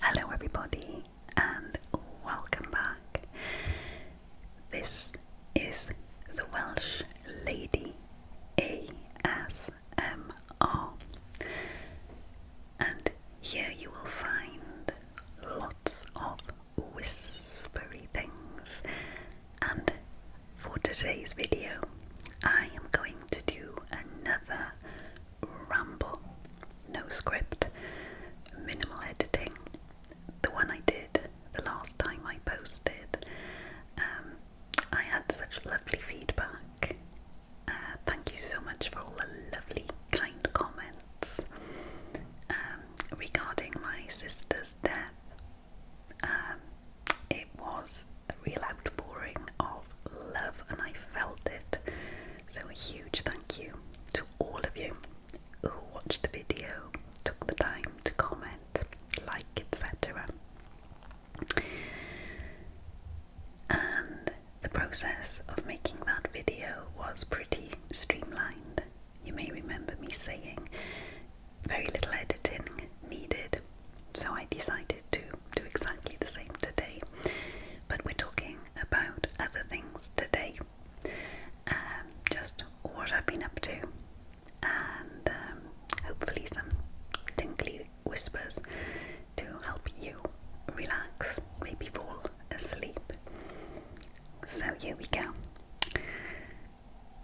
Hello, everybody, and welcome back. This is the Welsh Lady ASMR, and here you will find lots of whispery things. And for today's video, I am going to do another ramble, no script, minimal editing. The one I did the last time I posted, um, I had such lovely feedback. Uh, thank you so much for all the lovely, kind comments um, regarding my sister's death. Um, it was a real outpouring of love, and I felt it. So, a huge thank you to all of you who watched the video, took the time to comment, like, etc. And the process of making that video was pretty streamlined. You may remember me saying very little editing needed, so I decided to do exactly the same today. But we're talking about other things today. Um, just what I've been up to, and um, hopefully some tinkly whispers to help you relax, maybe fall asleep. So, here we go.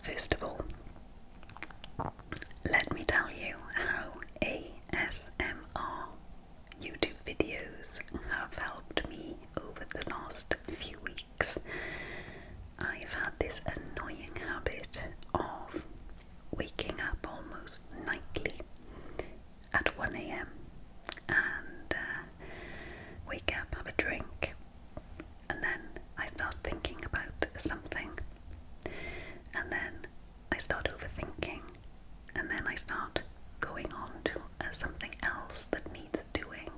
First of all, let me tell you how ASMR YouTube videos have helped me over the last few weeks. I've had this annoying habit of waking up almost nightly at 1 a.m. and uh, wake up, have a drink, and then I start thinking about something, and then I start overthinking, and then I start going on to uh, something else that needs doing.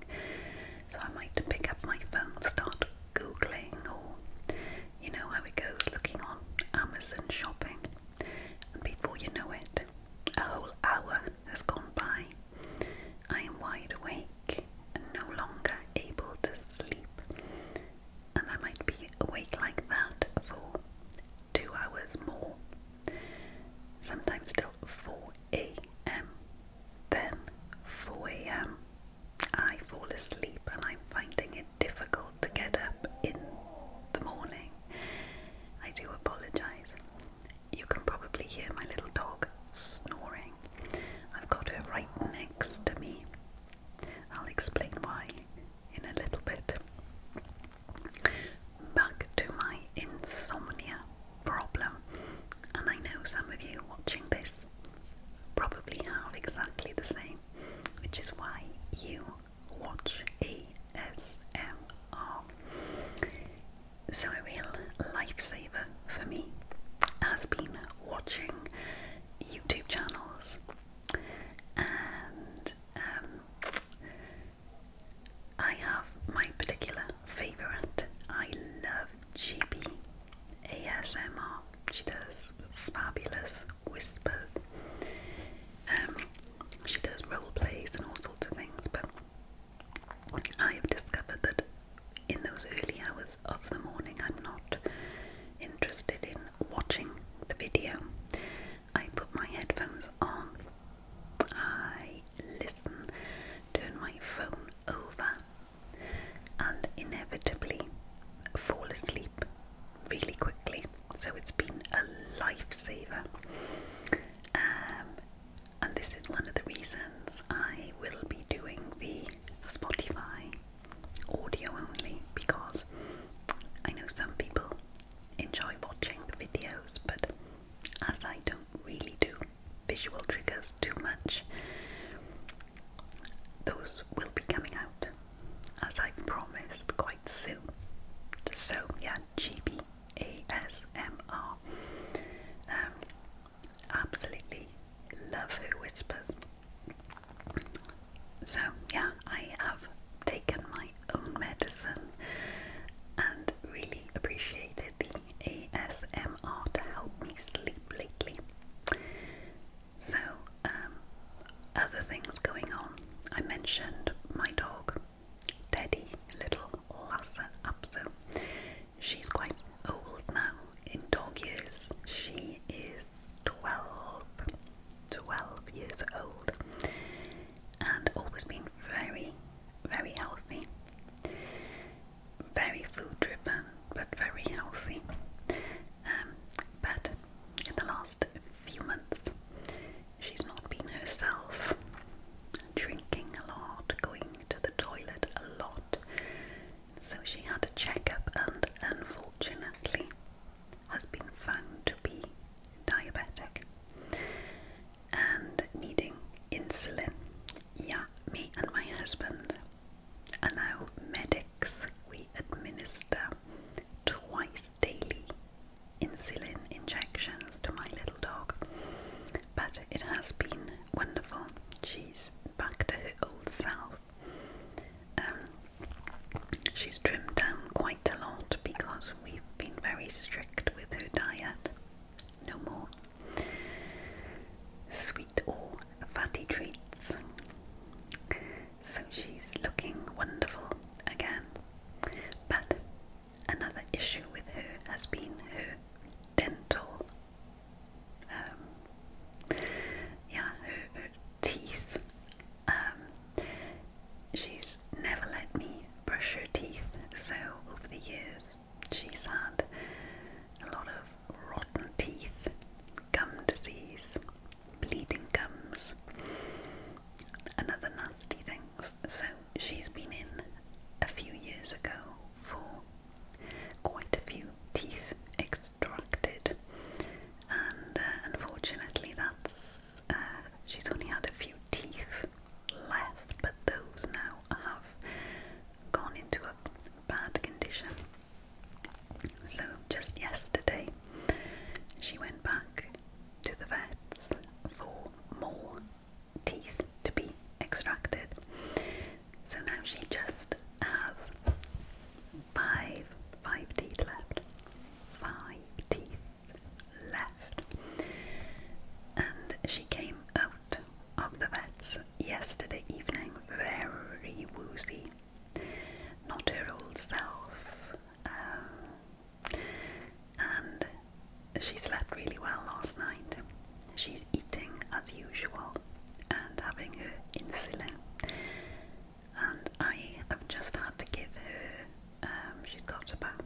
So I might pick up my phone, start googling, or you know how it goes, looking on Amazon shopping, and before you know it, a whole hour has gone by. I am wide awake and no longer able to sleep, and I might be awake like that for two hours more, sometimes till 4 a.m. Then 4 a.m. I fall asleep and I'm finding it difficult to get up in the morning. I do apologise. You can probably hear my little dog snoring. I've got her right next to me. I'll explain why in a little bit. Back to my insomnia problem, and I know some of you watching this probably have exactly the same, which is why you watch ASMR. So, a real lifesaver for me has been watching YouTube channels and um, I have my particular favourite. I love GB ASMR. She does fabulous whispers. Um, she does role plays and all sorts of things, but I have discovered that in those early hours of the morning, I'm not interested in watching the video. I put my headphones on, I listen, turn my phone over, and inevitably fall asleep really quickly. So it's been a lifesaver. Um, and this is one of the reasons I will be doing the Spotify audio only because I know some people enjoy watching the videos, but as I don't really do visual triggers too much, those will be coming out as I promised quite soon. So, yeah, GBASMR. Um, absolutely love her whispers. So, yeah, I have taken my own medicine and really appreciated the ASMR to help me sleep lately. So, um, other things going on. I mentioned my dog, Teddy, little Lassa Apso. She's quite old now in dog years. She is 12, 12 years old and always been very, very healthy. Very food driven, but very healthy. Um, but in the last few months, she's not been herself. Drinking a lot, going to the toilet a lot. So she had a checkup, and unfortunately, has been found to be diabetic and needing insulin. Yeah, me and my husband are now medics. We administer twice daily insulin injections to my little dog. But it has been wonderful. She's back to her old self. Um, She's trimmed down quite a lot because we've been very strict with her diet. No more sweet or fatty treats. So she's looking wonderful again. But another issue with her has been her dental. Um, yeah, her teeth um, she's never let me brush her teeth, so over the years she's had a lot of rotten teeth, gum disease, bleeding gums, and other nasty things. So she's been in a few years ago for quite a few teeth extracted, and uh, unfortunately, that's uh, she's only had a few teeth left, but those now have gone into a bad condition. So, just yesterday, she went back to the vets for more teeth to be extracted. So now she just has five, five teeth left. Five teeth left. And she came out of the vets yesterday evening very woozy. Not her old self. Um, and she slept really well last night. She's eating as usual and having her insulin and I have just had to give her, um, she's got about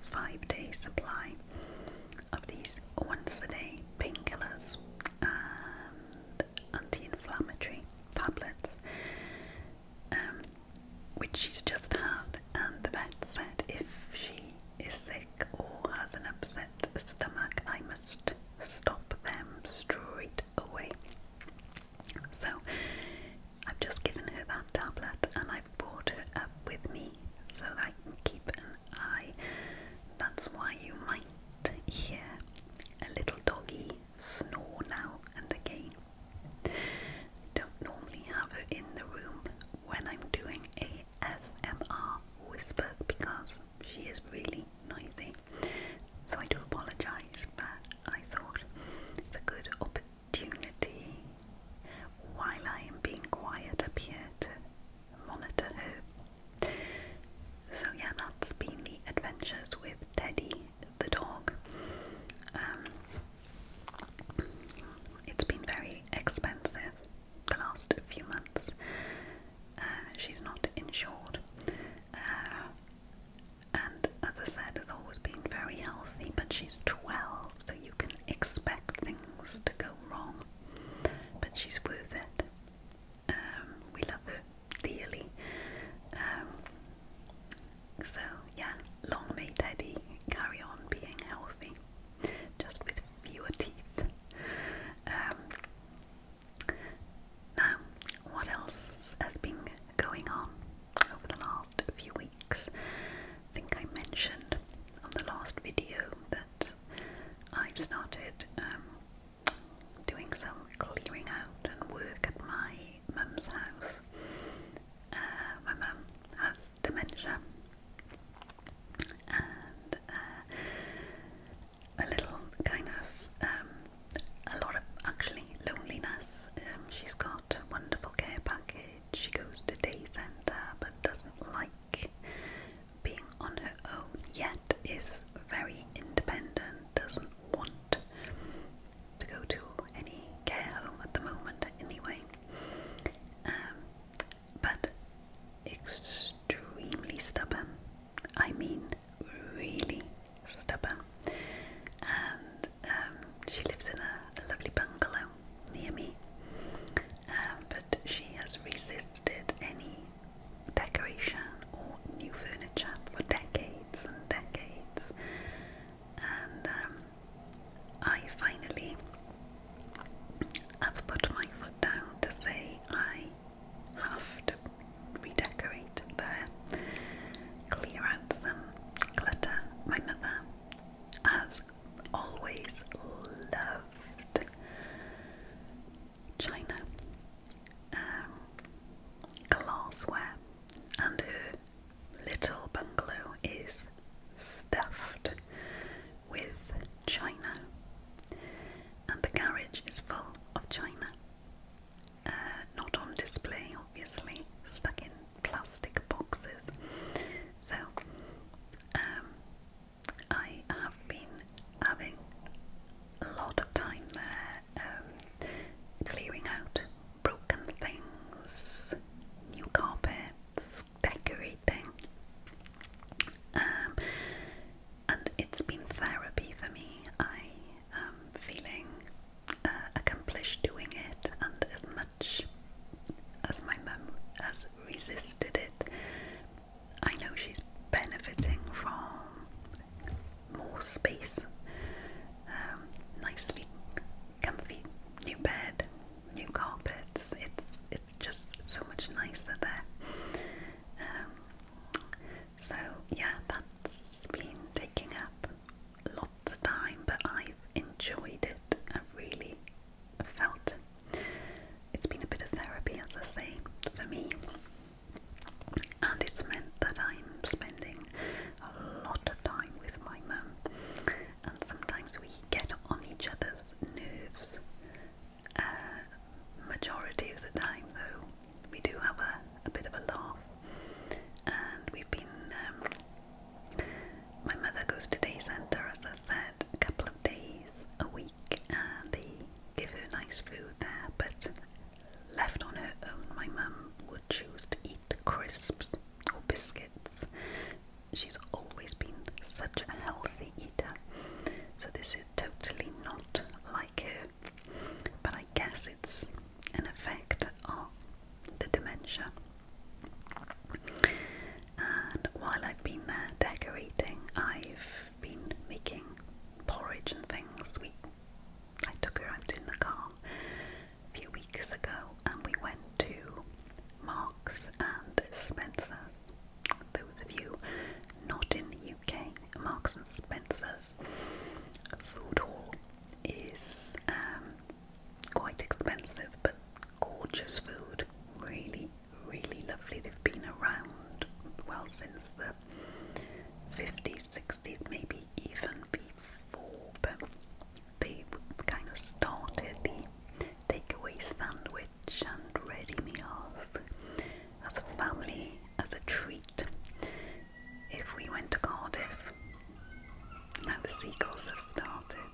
five days supply of these once a day painkillers and anti-inflammatory tablets um, which she's just had and the vet said if she is sick or has an upset stomach I must stop them straight away so I've just given her that tablet and I've brought her up with me so that I can keep an eye. That's why you might hear a little doggy snore now and again. don't normally have her in the room when I'm doing ASMR whisper because she is really noisy. So I do apologise, but I thought it's a good opportunity opportunity while I am being quiet up here to monitor her. So, yeah, that's been the adventures with Teddy the dog. Um, it's been very expensive the last few months. Uh, she's not insured. Uh, and as I said, has always been very healthy, but she's 12, so you can expect things to go wrong, but she's worth it. Um, we love her dearly. Um, so, yeah, long may Daddy carry on being healthy, just with fewer teeth. Um, now, what else has been going on over the last few weeks? breaks. I think I mentioned on the last video that I've started um, doing some clearing out and work at my mum's house. Uh, my mum has dementia, and uh, a little kind of um, a lot of actually loneliness um, she's got a wonderful care package. She goes to day centre but doesn't like being on her own yet, is very independent, doesn't want to go to any care home at the moment anyway. Um, but extremely stubborn. I mean, really stubborn. And um, she lives in a, lovely bungalow near me. Um, but she has resisted any decoration or new furniture for decades and decades. And um, I finally have put my foot down to say I have to redecorate there clear out My mother has always loved china, um, glassware, and her little bungalow is stuffed with china, and the garage is full of china. Uh, not on display, obviously, stuck in plastic boxes. So, um, I have been having a lot of time there um, clearing out broken things, new carpets, decorating. Um, and it's been therapy for me. I am feeling uh, accomplish doing it, and as much as my mum has resisted it, I know she's benefiting from more space, um, nicely comfy new bed, new carpets. It's it's just so much nicer there. Um, so yeah, that's been taking up lots of time, but I've enjoyed it. I've really felt it's been a bit of therapy, as I say, for me. And it's meant that I'm spending a lot of time with my mum, and sometimes we get on each other's nerves. Uh, majority of the time, though, we do have a, a bit of a laugh, and we've been um, my mother goes to day centre, as I said, a couple of days a week, and they give her nice food there. But left on her own, my mum would choose to eat crisps or biscuits. She's always been such a healthy eater, so this is totally not like her. But I guess it's an effect of the dementia. And while I've been there decorating, I've been making porridge and things. We, I took her out in the car a few weeks ago and we went to Marks and Spencer's. Those of you not in the UK, Marks and Spencer's food hall is um, quite expensive but gorgeous food. Really, really lovely. They've been around well since the 50s, 60s, maybe even before, but they kind of started the takeaway sandwich and ready meals as a family, as a treat if we went to Cardiff. Now the seagulls have started.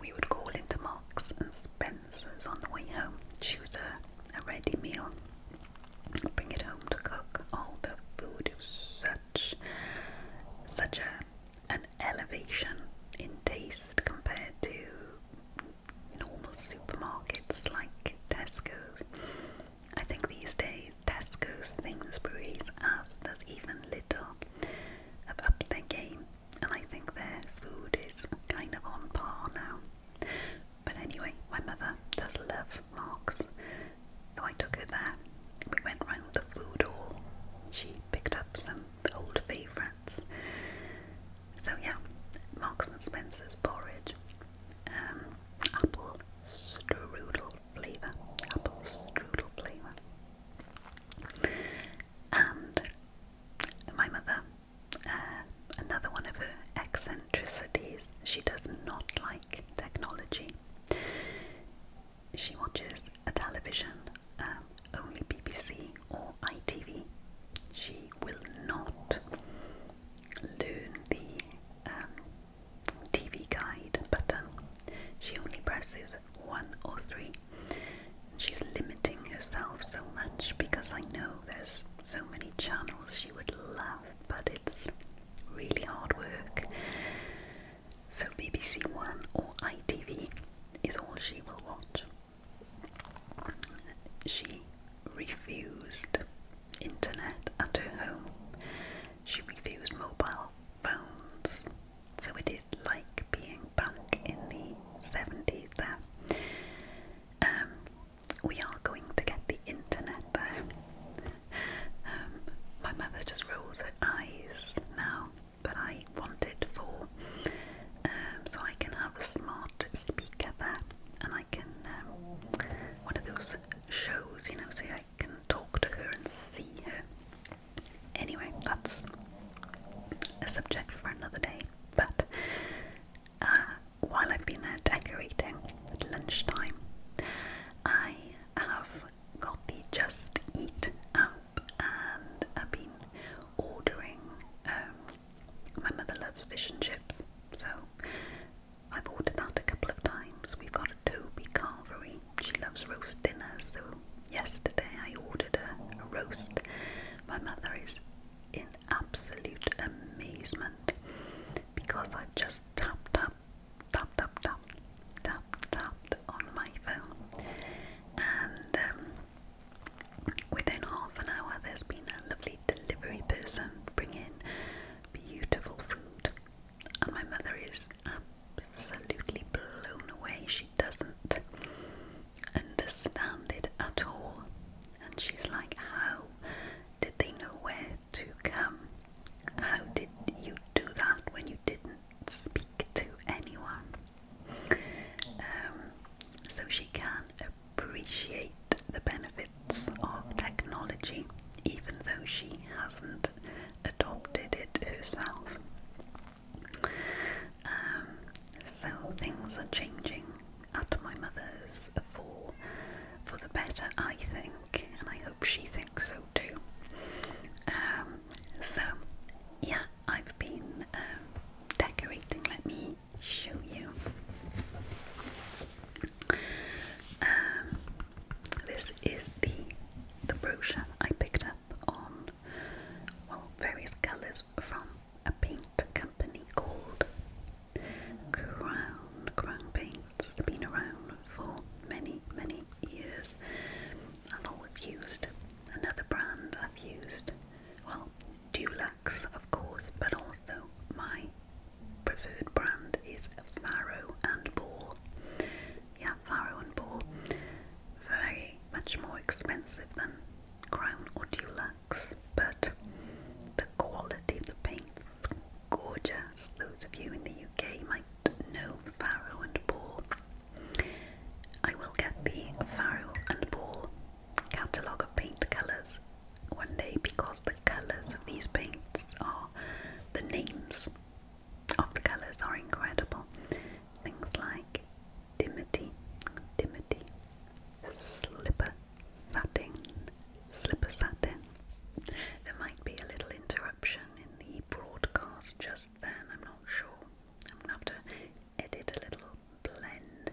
We would call into Marks and Spencer's on the way home, choose a, a ready meal, bring it home to cook. All oh, the food is such, such a, an elevation in taste compared to normal supermarkets like Tesco's. I think these days Tesco's things, Tesco as does even Little, have upped their game and I think their food is kind of on par now. But anyway, my mother does love Marks. So I took her there. We went round the food hall. She picked up some old favourites. So yeah, Marks and Spencer's porridge, um, apple strudel flavour, apples, strudel flavour. And my mother, uh, another one of her eccentricities, she does not like technology. She watches a television, um, only BBC or ITV. She will not learn the um, TV guide button. She only presses one or three. She's limiting herself so much because I know there's so many channels she would love, but it's really hard work. So BBC One or ITV is all she will watch. She refused internet at her home. She refused mobile phones. So it is like being back in the 70s there. Um, we are going to get the internet there. Um, my mother just rolls her eyes now, but I want it for um, so I can have a smart speaker there, and I can um, one of those shows, you know, so I I can talk to her and see her. Anyway, that's a subject for another day. But uh, while I've been there decorating lunchtime, I have got the Just Eat app and I've been ordering. Um, my mother loves fish and chips, so I've ordered that a couple of times. We've got a Toby Carvery. She loves roast dinners, so yesterday I ordered a, roast. My mother is in absolute amazement because I've just tapped up, tapped tapped, tapped, tapped on my phone. And um, within half an hour, there's been a lovely delivery person bring in beautiful food and my mother is absolutely blown away. She doesn't understand it at all, and she's like, How did they know where to come? How did you do that when you didn't speak to anyone? Um, so she can appreciate the benefits of technology, even though she hasn't adopted it herself. Um, so things are changing at my mother's for for the better, I think, and I hope she thinks so too. Um, so yeah, I've been um, decorating. Let me show you. This is the the brochure I picked up on well various colours from a paint company called Crown Crown Paints. i have been around for many, many years. I've always used another brand I've used, well, Dulux of course, but also my preferred brand is Faro and Ball yeah, Faro and Ball, very much more expensive than Crown or Dulux, but the quality of the paints gorgeous. Those of you in the UK might know Faro and Ball. I will get the Faro and Ball catalogue of paint colours one day because the colours of these paints are the names of the colours are incredible. Things like dimity, dimity, slipper satin, slipper satin. There might be a little interruption in the broadcast just then, I'm not sure. I'm gonna have to edit a little blend.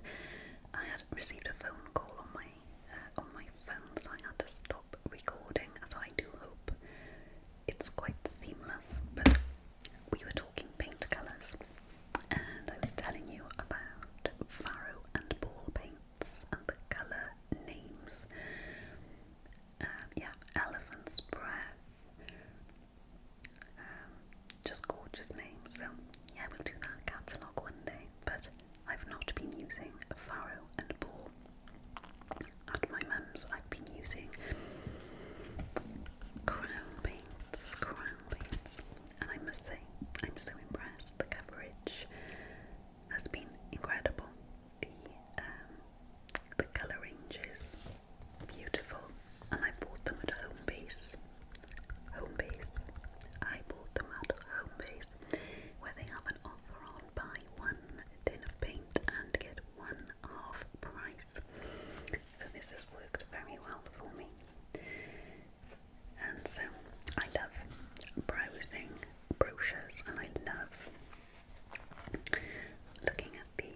I had received a phone call on my uh, on my phone, so I had to stop stop recording, so I do hope it's quite seamless. But we were talking paint colours, and I was telling you about farrow and ball paints and the colour names. Um, yeah, elephant's breath. Um, just gorgeous names. So yeah, we'll do that catalogue one day. But I've not been using farrow and ball at my mum's, I've been using crown paints, crown paints, and I must say, I'm so impressed. The coverage has been incredible. The um, the colour ranges beautiful, and I bought them at Home Base. Home Base. I bought them at Home Base, where they have an offer on buy one tin of paint and get one half price. So this has worked very well for me. And so I love browsing brochures and I love looking at the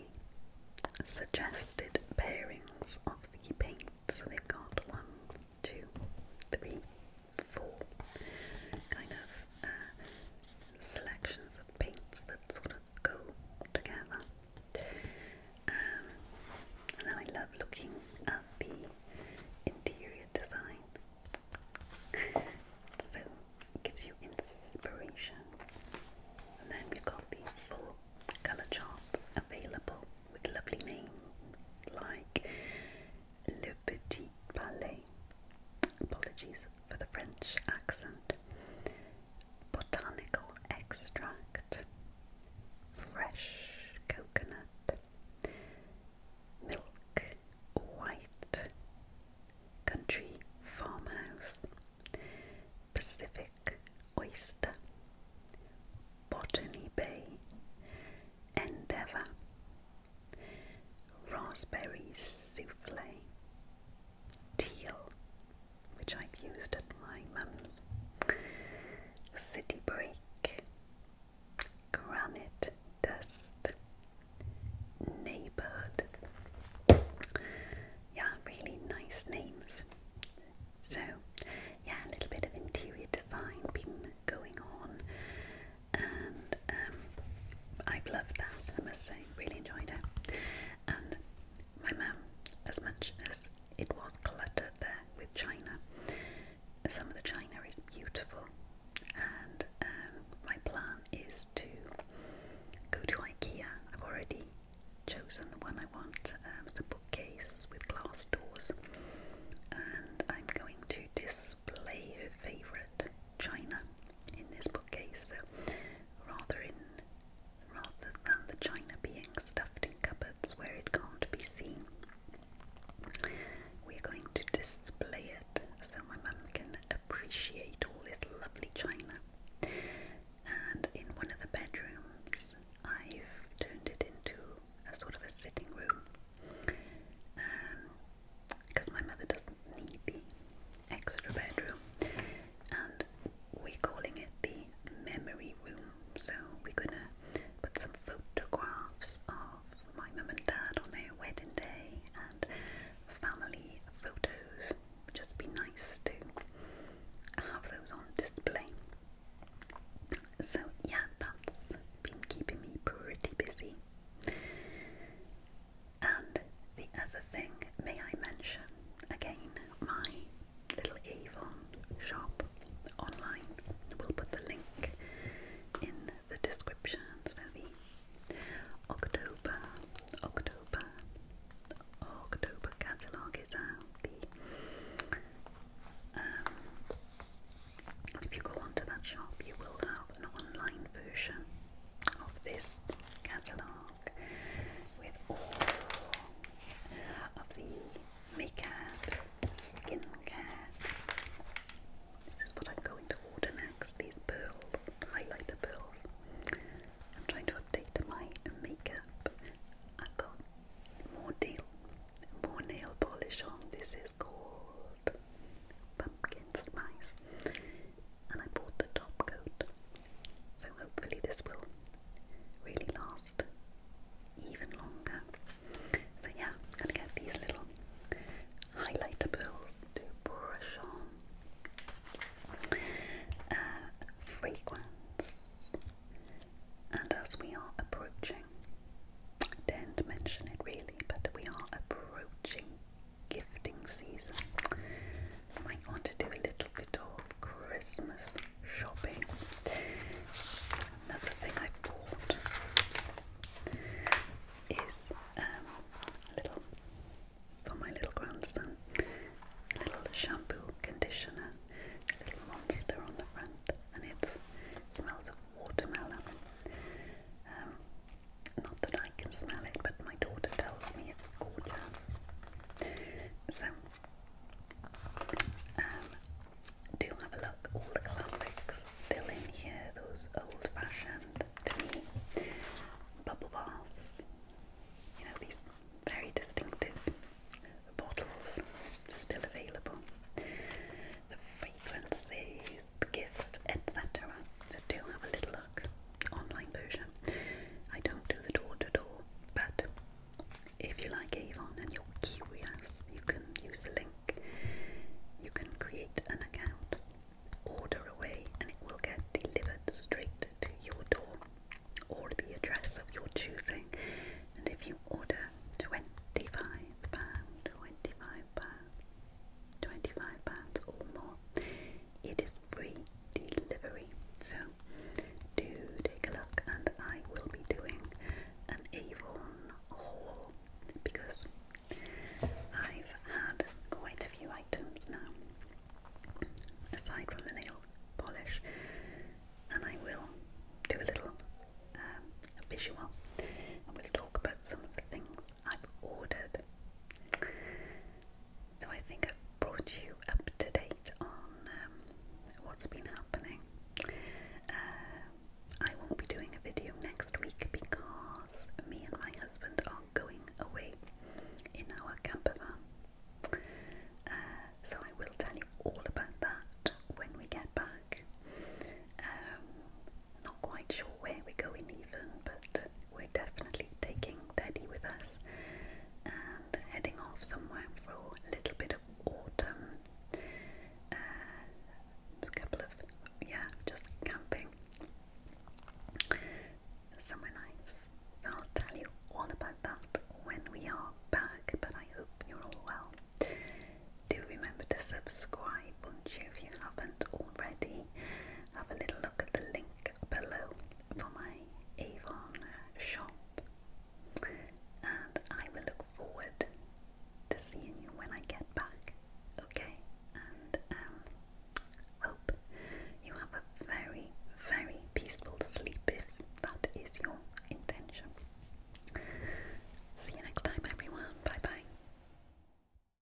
suggested pairings of the paints. So they've got one, two, three, four kind of uh, selections of paints that sort of go together. Um, and then I love looking at the interior design. so gives you inspiration. And then you have got the full colour chart available with lovely names like Le Petit Palais. Apologies for the French accent. Botanical extract. Fresh coconut. Milk white. Country farmhouse. Pacific oyster. Botany Bay. Endeavour raspberry souffle, teal, which I've used at my mum's, city break, granite dust, neighbourhood. Yeah, really nice names. So, yeah, a little bit of interior design been going on and um, I've loved that, I must say, really enjoyed it. And my mum, as much as it was cluttered there with china, some of the china is beautiful, and um, my plan is to go to IKEA. I've already chosen the one I want, um, the bookcase with glass doors, and I'm going to display her favourite china in this bookcase, rather in rather than the china being stuffed in cupboards where it can't be seen. We're going to display it so my mum can appreciate all this lovely china. And in one of the bedrooms, I've turned it into a sort of a sitting room. Um, because my mother doesn't need the extra bedroom, and we're calling it the memory room. So we're gonna put some photographs of my mum and dad on their wedding day and family photos. Just be nice to have those on display. So yeah, that's been keeping me pretty busy. And the other thing, may I mention again, my little Avon shop online. We'll put the link in the description. So the October, October, October catalogue is out. The, um, if you go onto that shop, you will have an online version of this catalogue with all of the makeup, skincare. This is what I'm going to order next these pearls, highlighter pearls. I'm trying to update my makeup. I've got more nail, more nail polish on. This is called pumpkin spice, and I bought the top coat. So hopefully this will really last even longer. So yeah, gonna get these little highlighter pearls to brush on. Uh, and as we are approaching, I didn't mention it really, but we are approaching gifting season. I might want to do a little bit of Christmas shopping. Another thing I bought is um, a little for my little grandson, little shampoo conditioner, a little monster on the front, and it smells of watermelon. Um, not that I can smell it, but my daughter tells me it's gorgeous. So, um, do have a look. All the classics still in here, those old fashioned to me bubble baths. You know, these very distinctive bottles still available. The fragrances, gifts, etc. So do have a little look, online version. I don't do the door to door, but if you like Avon and you're curious, you can use the link. You can create an account, order away, and it will get delivered straight to your door or the address of your choosing. And if you order £25, £25, £25 or more, it is free delivery. So do take a look, and I will be doing an Avon haul because I've had quite a few items now, aside from the nail polish, and I will do a little um, visual and we'll talk about some of the things I've ordered so I think I've brought you up to date on um, what's been happening. Uh, I won't be doing a video next week because me and my husband are going away in our camper van. Uh, so I will tell you all about that when we get back. Um, not quite sure where we're going even, but we're definitely taking Teddy with us and heading off somewhere for a little bit of autumn. Uh, a couple of, yeah, just camping. Somewhere nice. I'll tell you all about that when we are back, but I hope you're all well. Do remember to subscribe, won't you, if you haven't already have a little look at the link below for my Avon shop. And I will look forward to seeing you when I get back, okay? And um, hope you have a very, very peaceful sleep if that is your intention. See you next time, everyone. Bye bye.